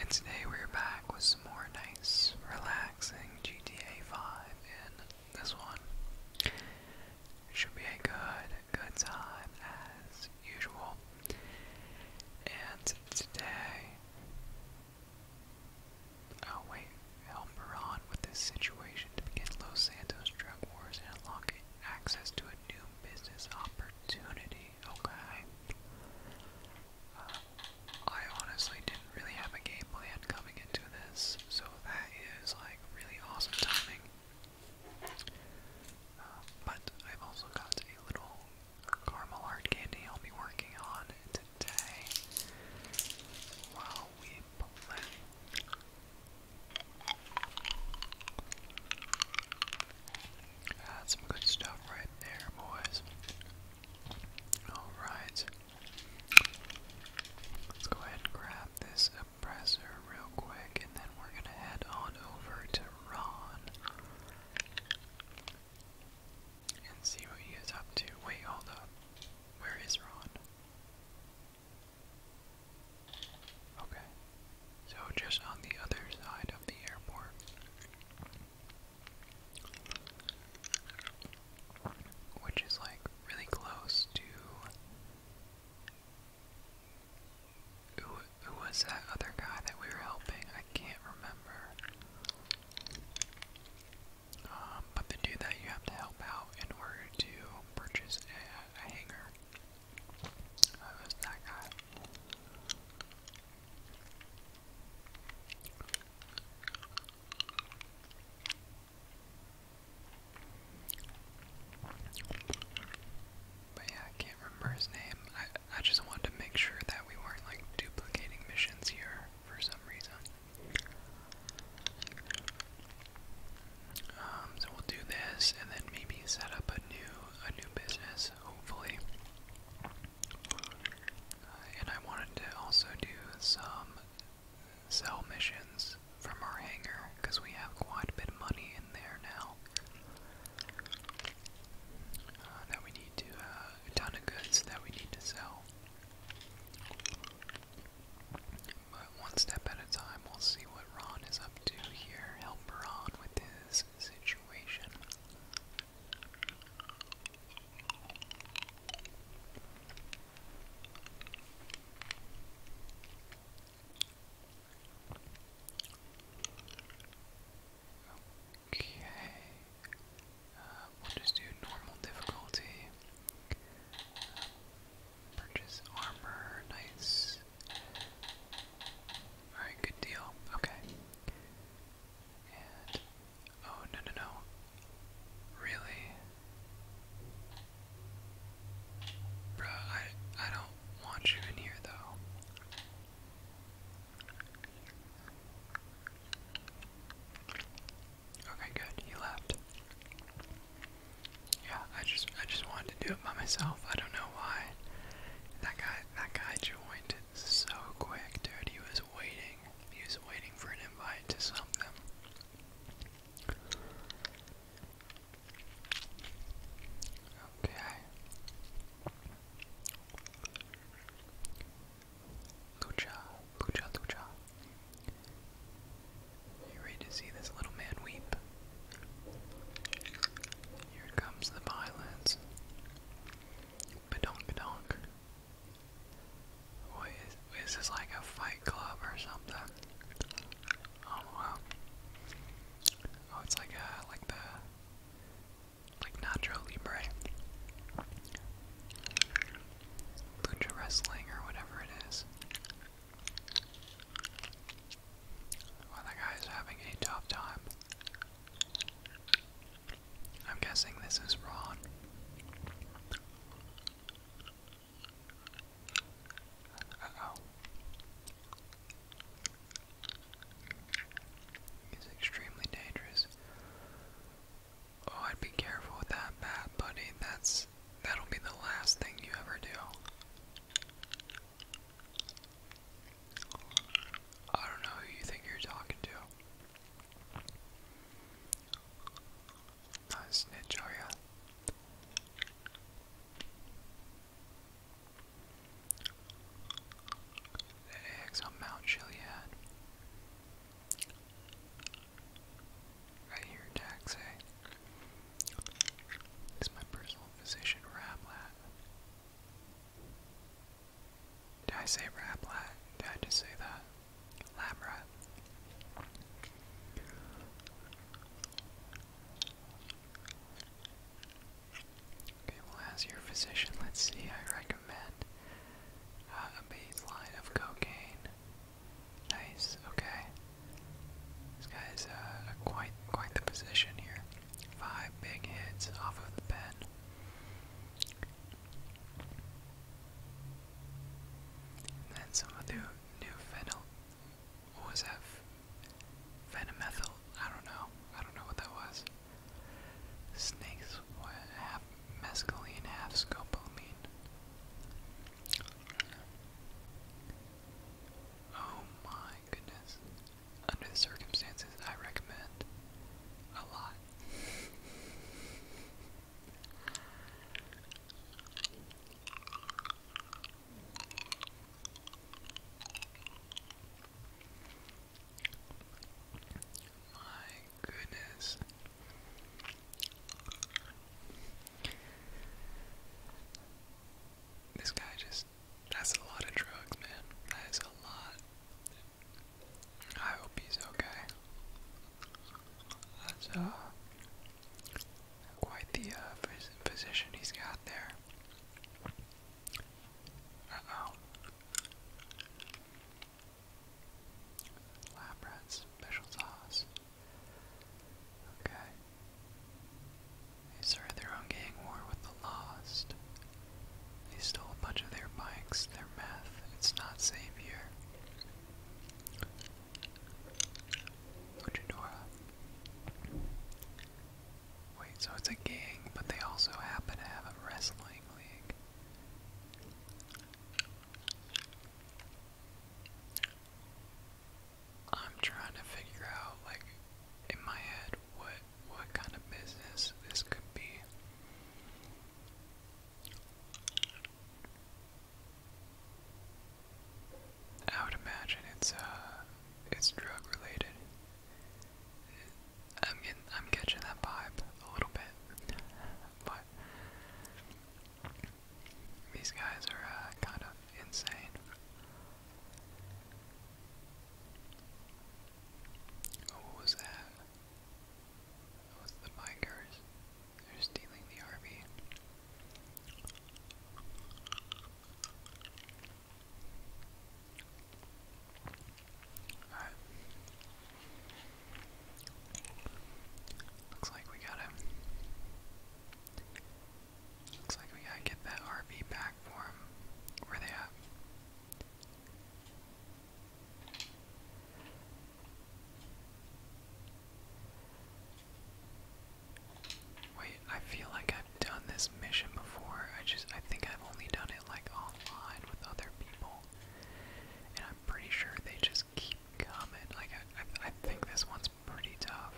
And today we're back with some more nice, relaxing GTA 5, and this one should be a good, good time as usual. And today. Oh, wait. Help Iran with this situation to begin Los Santos drug wars and unlock access to a new business opportunity okay. Um, I honestly didn't really have a game plan coming into this, so that is like really awesome timing. Um, but I've also got a little caramel hard candy I'll be working on today while we play. That's some good stuff right there, boys. Alright. Let's go ahead and grab this oppressor real quick, and then we're gonna head on over to Ron. And see what he is up to. Wait, hold up. Where is Ron? Okay. So just on the other side of the airport. Which is like really close to who, who was that other guy that we were helping? I can't remember. Um, but the dude that you have to help out in order to purchase a, hangar. Uh, was that guy. But yeah, I can't remember his name. I, I just wanted to make sure that we weren't like duplicating missions here for some reason. Um, so we'll do this and then maybe set up a new a new business hopefully. Uh, and I wanted to also do some sell missions from our hangar because we have quite a bit of money in there now. Uh, that we need to, uh, ton of goods that we need to sell. But one step at a time, we'll see what Ron is up to here. Help Ron with his situation situation. Okay, uh, we'll just do normal difficulty. Uh, purchase armor, nice. Alright, good deal. Okay. And. Oh, no, no, no. Really? Bruh, I, I don't want you in here, though. Okay, good. He left. Yeah, I just I just wanted to do it by myself. I don't know why. That guy that guy joined so quick, dude. He was waiting. He was waiting for an invite to something. Okay. Lucha, lucha, lucha. You ready to see this little man weep? Here comes the violence. Badonk donk. What is, is like a fight club or something? Oh wow. Oh, it's like a, like the, like Nacho Libre. Lucha Wrestling or whatever it is. Well, that guy's having a tough time. I'm guessing this is Ron. oh. He's extremely dangerous. Oh, I'd be careful with that bat, buddy. That's that'll be the last thing you ever do. I don't know who you think you're talking to. Not snitch, are ya? The eggs on Mount Chiliad. I hear Dax say. Eh? It's my personal physician, Rablat. Did I say rap Did I just say that? Lab Okay, well, as your physician, let's see. I recommend uh, a baseline of cocaine. Nice. Okay. This guy is uh, quite quite the physician here. Five big hits off of the pen. then some of the new phenyl, was that? Phenomethyl, I don't know, I don't know what that was. Snakes, what, half mescaline, half scopolamine. Oh my goodness. Under the circumstances, I recommend a lot. My goodness. This guy just that's a lot of drugs, man. That is a lot. I hope he's okay. That's uh quite the uh position he's got there. oh. Lab rats, special sauce. Okay. They started their own gang war with the Lost. They stole a bunch of their bikes, their meth. It's not safe here. Uh, wait, so it's a gang, but they also happen to have a wrestling league. I'm trying to figure out, like, in my head, what what kind of business this could be. I would imagine it's uh, it's drug related. I'm getting, I'm catching that vibe a little bit, but these guys are uh, kind of insane. Oh, what was that? That bikers. They're stealing the RV. Alright. Looks like we got him. Looks like we gotta get that RV back for him. Where they at? Wait, I feel like I've done this mission before. I just I think I've only done it like online with other people. And I'm pretty sure they just keep coming. Like I, I think this one's pretty tough.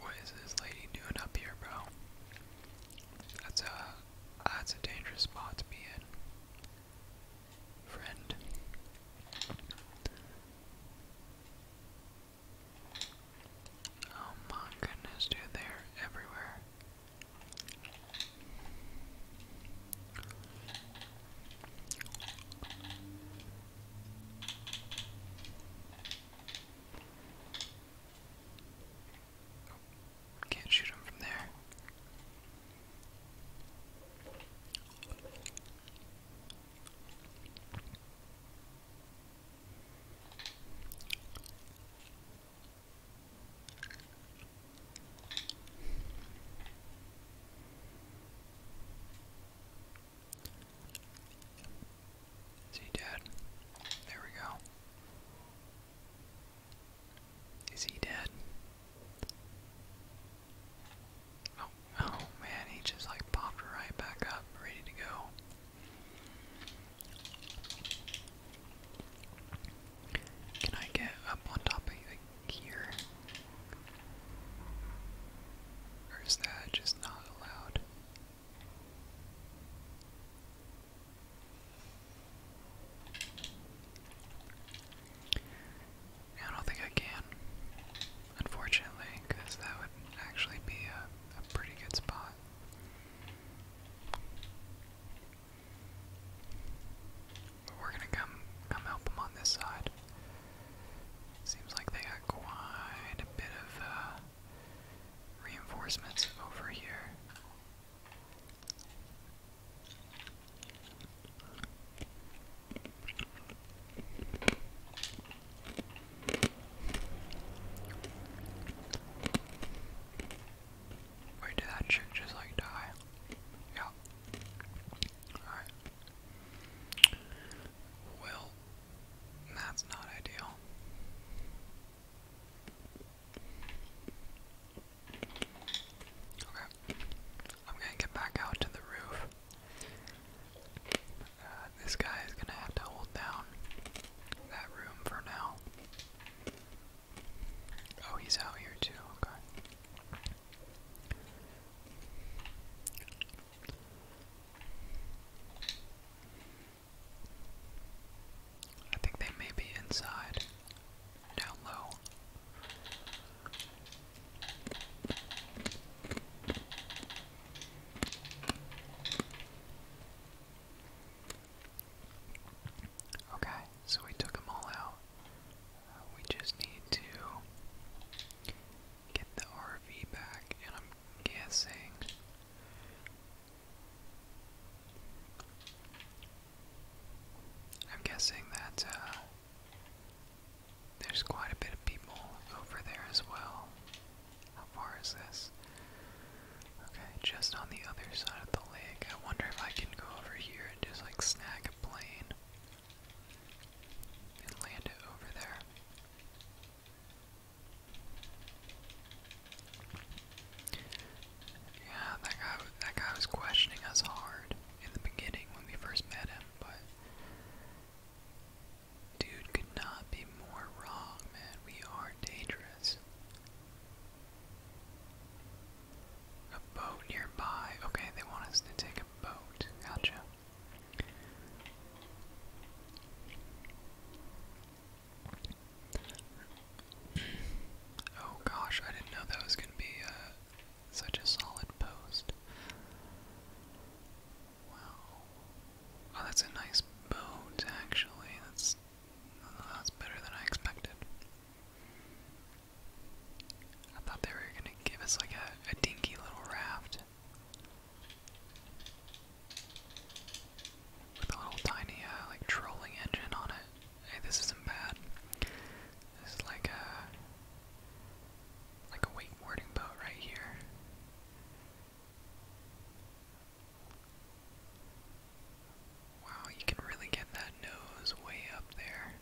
What is this lady doing up here, bro? That's a that's a dangerous spot to be in, friend. Oh my goodness, dude! They're everywhere. Oh, can't shoot him from there. Is he dead? There we go. Is he dead? Oh, oh man, he just like popped right back up, ready to go. Can I get up on top of like, here? Or is that just not allowed? I don't think I can, unfortunately, because that would actually be a, pretty good spot. we're gonna come come help them on this side. Seems like they got quite a bit of uh, reinforcements over here. Wait, did that chick just like die? Yeah. Alright. Well, that's not ideal. Okay. I'm gonna get back out to the roof. Uh, this guy is gonna have to hold down that room for now. Oh, he's out here too. Okay. I think they may be inside. Okay, so we took them all out. Uh, we just need to get the RV back, and I'm guessing I'm guessing that uh, there's quite a bit of people over there as well. How far is this? Okay, just on the other side of the lake. I wonder if I can go over here and just like snag a plane and land it over there. Yeah, that guy, that guy was questioning us hard in the beginning when we first met him, but dude could not be more wrong, man. We are dangerous. A boat nearby. Okay, they want us to take a boat. Gotcha. Oh gosh, I didn't know that was going to be uh, such a solid post. Wow. Oh, that's a nice boat, actually. That's, that's better than I expected. I thought they were going to give us like a, a dinky little raft with a little tiny uh, like trolling engine on it. Hey, this isn't bad. This is like a like a wakeboarding boat right here. Wow, you can really get that nose way up there.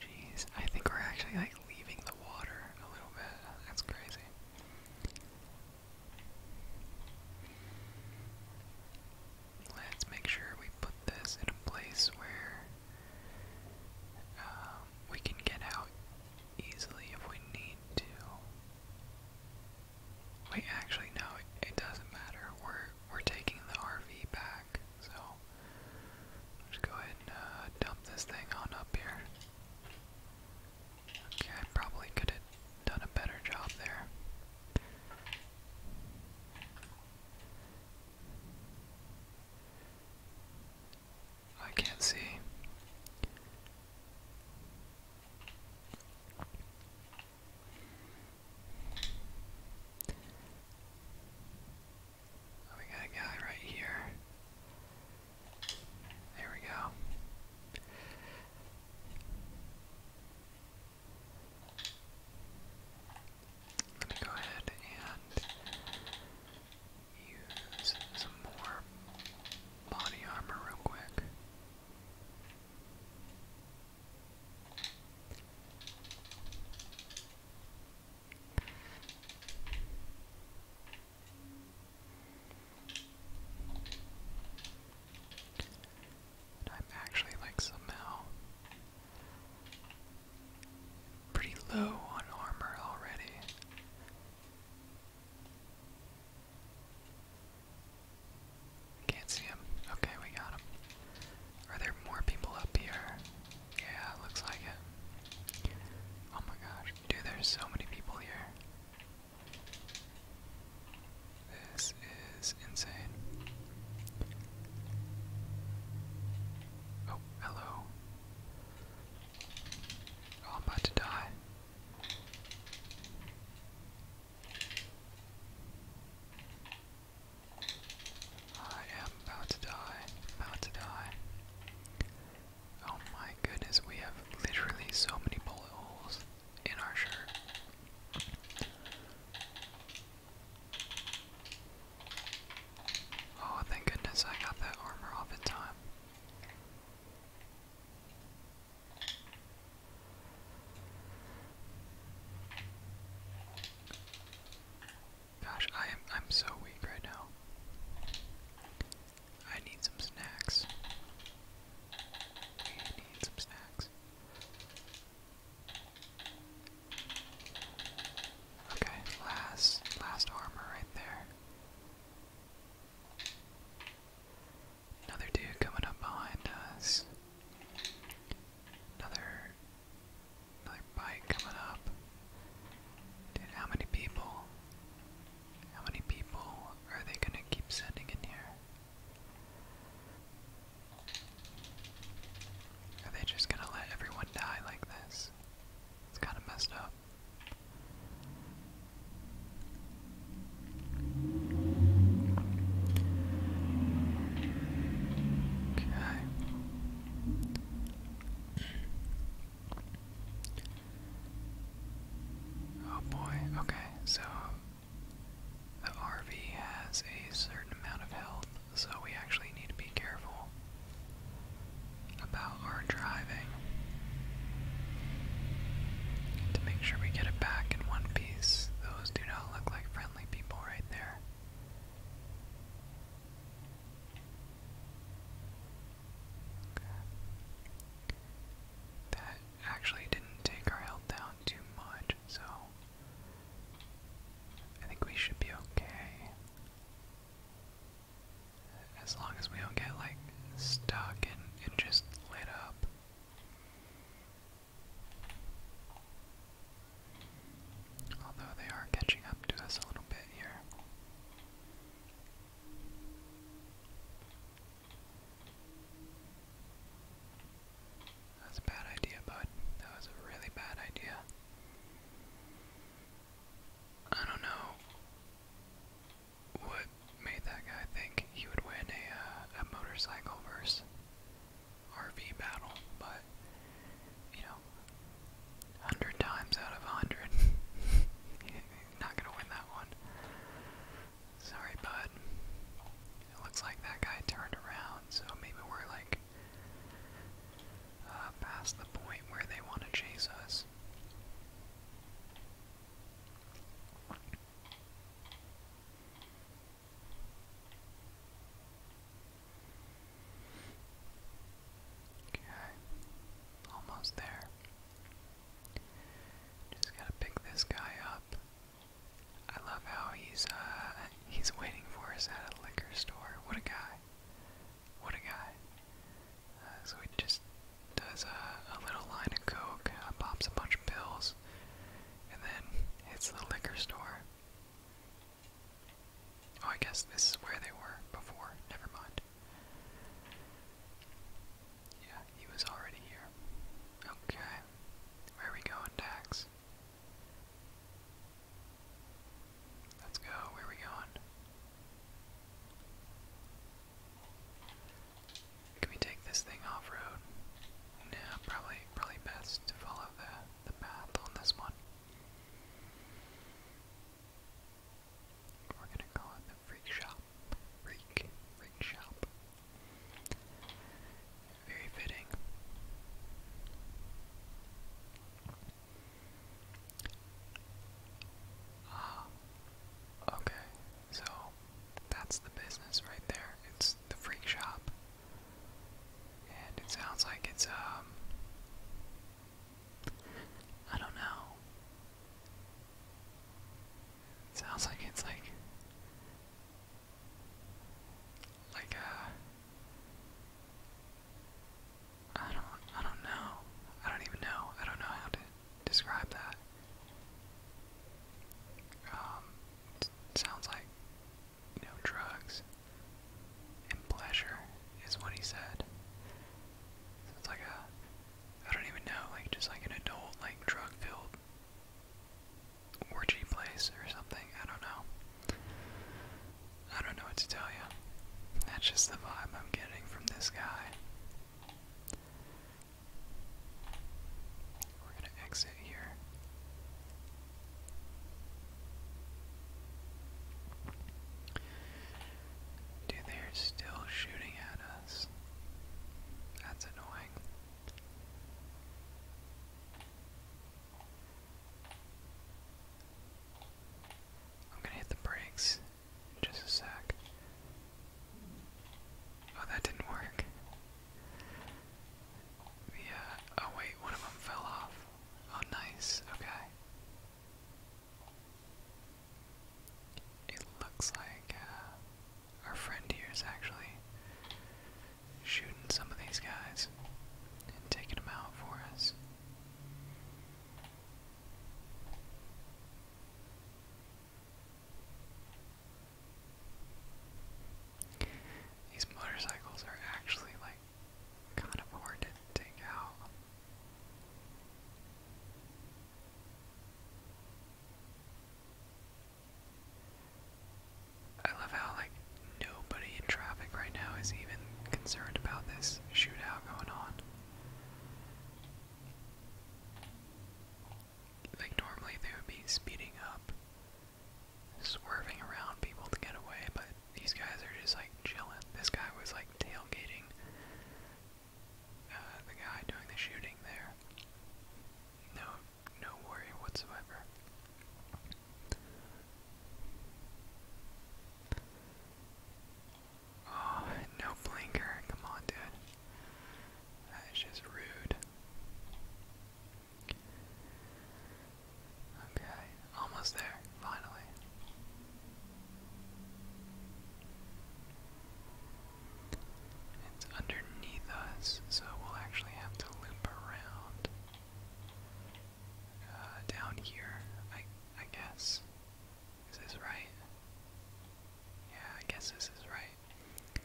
Jeez, I think we're actually like leaving the water a little bit. That's crazy. Let's make sure we put this in a place where um, we can get out easily if we need to. Wait, actually, no, it, doesn't matter. We're we're taking the RV back, so let go ahead and uh, dump this thing on up here. Okay, I probably could have done a better job there. I can't see. Oh, we got a guy right here. There we go. I'm go ahead and use some more body armor real quick. I'm actually like somehow pretty low on armor already. Can't see him. Okay, we got him. Are there more people up here? Yeah, looks like it. Oh my gosh, dude, there's so many people here. This is insane. Oh, hello. Oh, I'm about to die. I am about to die. About to die. Oh my goodness, we have literally so many bullet holes in our shirt. Oh, thank goodness I got that armor off in time. Gosh, I am I'm so weak right now. I need some snacks. need some snacks. Okay, last last armor right there. Another dude coming up behind us. Another another bike coming up. Dude, how many people? How many people are they gonna keep sending in here? Are they just gonna let everyone die like this? It's kind of messed up. Okay. Oh boy, okay, so the RV has a certain amount of health, so we actually need to be careful about our driving to make sure we get it back in one piece. Those do not look like friendly people right there. That actually didn't take our health down too much, so I think we should be okay. As long as we don't get like stuck and, and just lit up. Although they are catching up to us a little bit here. That's a bad idea, bud. That was a really bad idea. I don't know what made that guy think he would win a, uh, a motorcycle versus RV battle, but, you know, 100 times out of 100, he's not gonna win that one. Sorry, bud. It looks like that guy turned around, so maybe we're like uh, past the point where they want to chase us. Okay, almost there. Just gotta pick this guy up I love how he's uh he's waiting for us at a liquor store. What a guy. What a guy. Uh, so he just does a, a little line of coke, uh, pops a bunch of pills, and then hits the liquor store. Oh, I guess this is where they were before. Never mind. Yeah, he was already here. Okay. Where are we going, Dax? Let's go. Where are we going? Can we take this thing off road? No, probably probably best to follow the the path on this one. We're gonna call it the freak shop. Rake, shop. Very fitting. Ah, okay. So that's the business right there. It's the freak shop. And it sounds like it's, um, I don't know sounds like it's like like a uh, I don't I don't know. I don't even know. I don't know how to describe that. Um it sounds like you know drugs and pleasure is what he said. So it's like a I don't even know, like just like an adult like drug filled orgy place or something. I don't know. I don't know what to tell you. That's just the vibe I'm getting from this guy. We're gonna exit here. Dude, they're still shooting at us. That's annoying. I'm gonna hit the brakes just a sec. Oh, that didn't work. The, oh wait, one of them fell off. Oh, nice, okay. It looks like, uh, our friend here is actually shooting some of these guys and taking them out for us. These motorcycles are actually like kind of hard to take out. I love how like nobody in traffic right now is even concerned about this shootout going on. Like normally they would be speeding up, swerving around people to get away, but these guys are just like chilling. This guy was like tailgating uh, the guy doing the shooting there. No, no worry whatsoever. Oh, no blinker. Come on, dude. That is just rude. Okay, almost there, finally. It's underneath us, so we'll actually have to loop around. Uh, down here, I, I guess. Is right? Yeah, I guess this is right.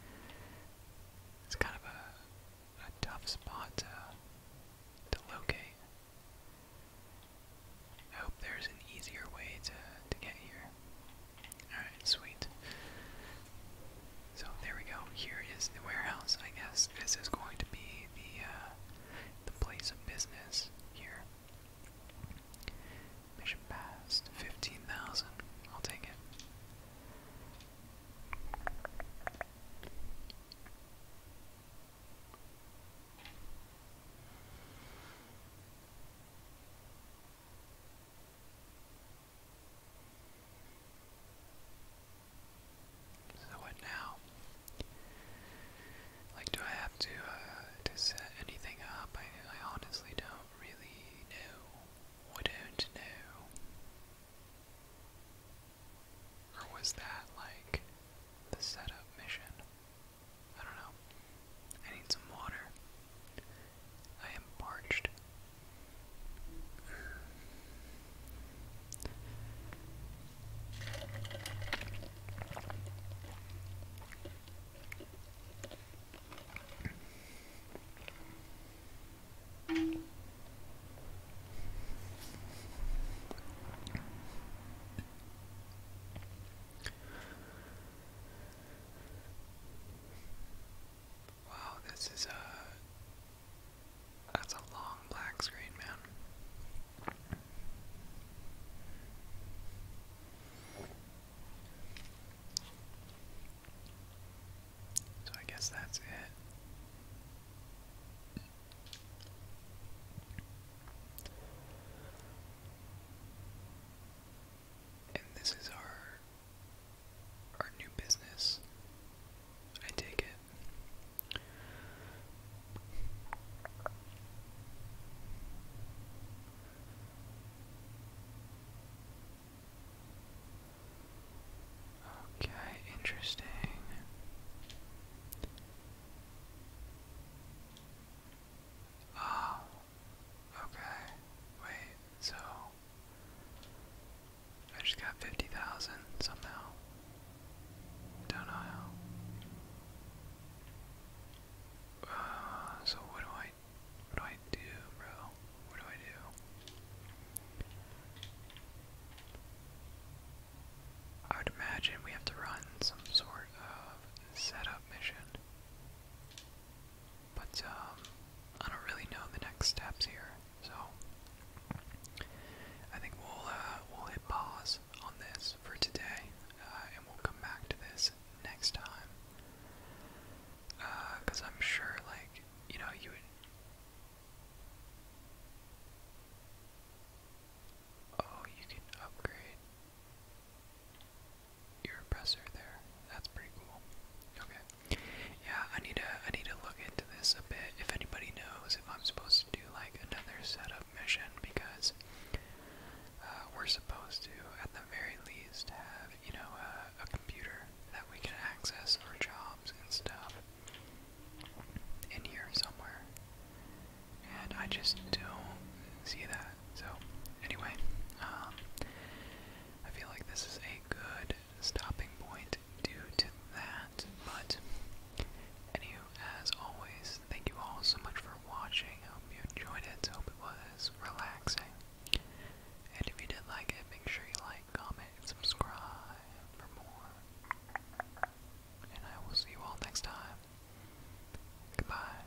It's kind of a, a tough spot to, to locate. I hope there's an easier way to, to get here. Alright, sweet. So there we go. Here is the warehouse, I guess. This is going to be the uh, the place of business here. Mission passed. 15,000. I'll take it. So what now? Like, do I have to uh, to set anything up? I I honestly don't really know. I don't know. Or was that like the setup mission? I don't know. I need some water. I am parched. Wow, this is a uh, that's a long black screen, man. So I guess that's it. And this is our our new business. I take it. Okay, interesting. Ah, Okay. Wait, so I just got 50,000 somehow. Don't know how. Uh, so what do I what do I do, bro? What do I do? I would imagine we have to run some sort of setup mission. But um, I don't really know the next steps here, so I think we'll uh, we'll hit pause on this for today, uh, and we'll come back to this next time. Because uh, I'm sure, like you know, you Oh, you can upgrade your oppressor there. That's pretty cool. Okay. Yeah, I need to I need to look into this a bit. If anybody knows if I'm supposed to do like another setup mission because uh, we're supposed to at the very least have, you know, a, a computer that we can access our jobs and stuff in here somewhere. And I just don't see that so anyway, um, I feel like this is a good stopping point due to that, but anywho, as always, thank you all so much for watching. I hope you enjoyed it. hope it was relaxing. And if you did like it, make sure you like, comment, subscribe for more. And I will see you all next time. Goodbye.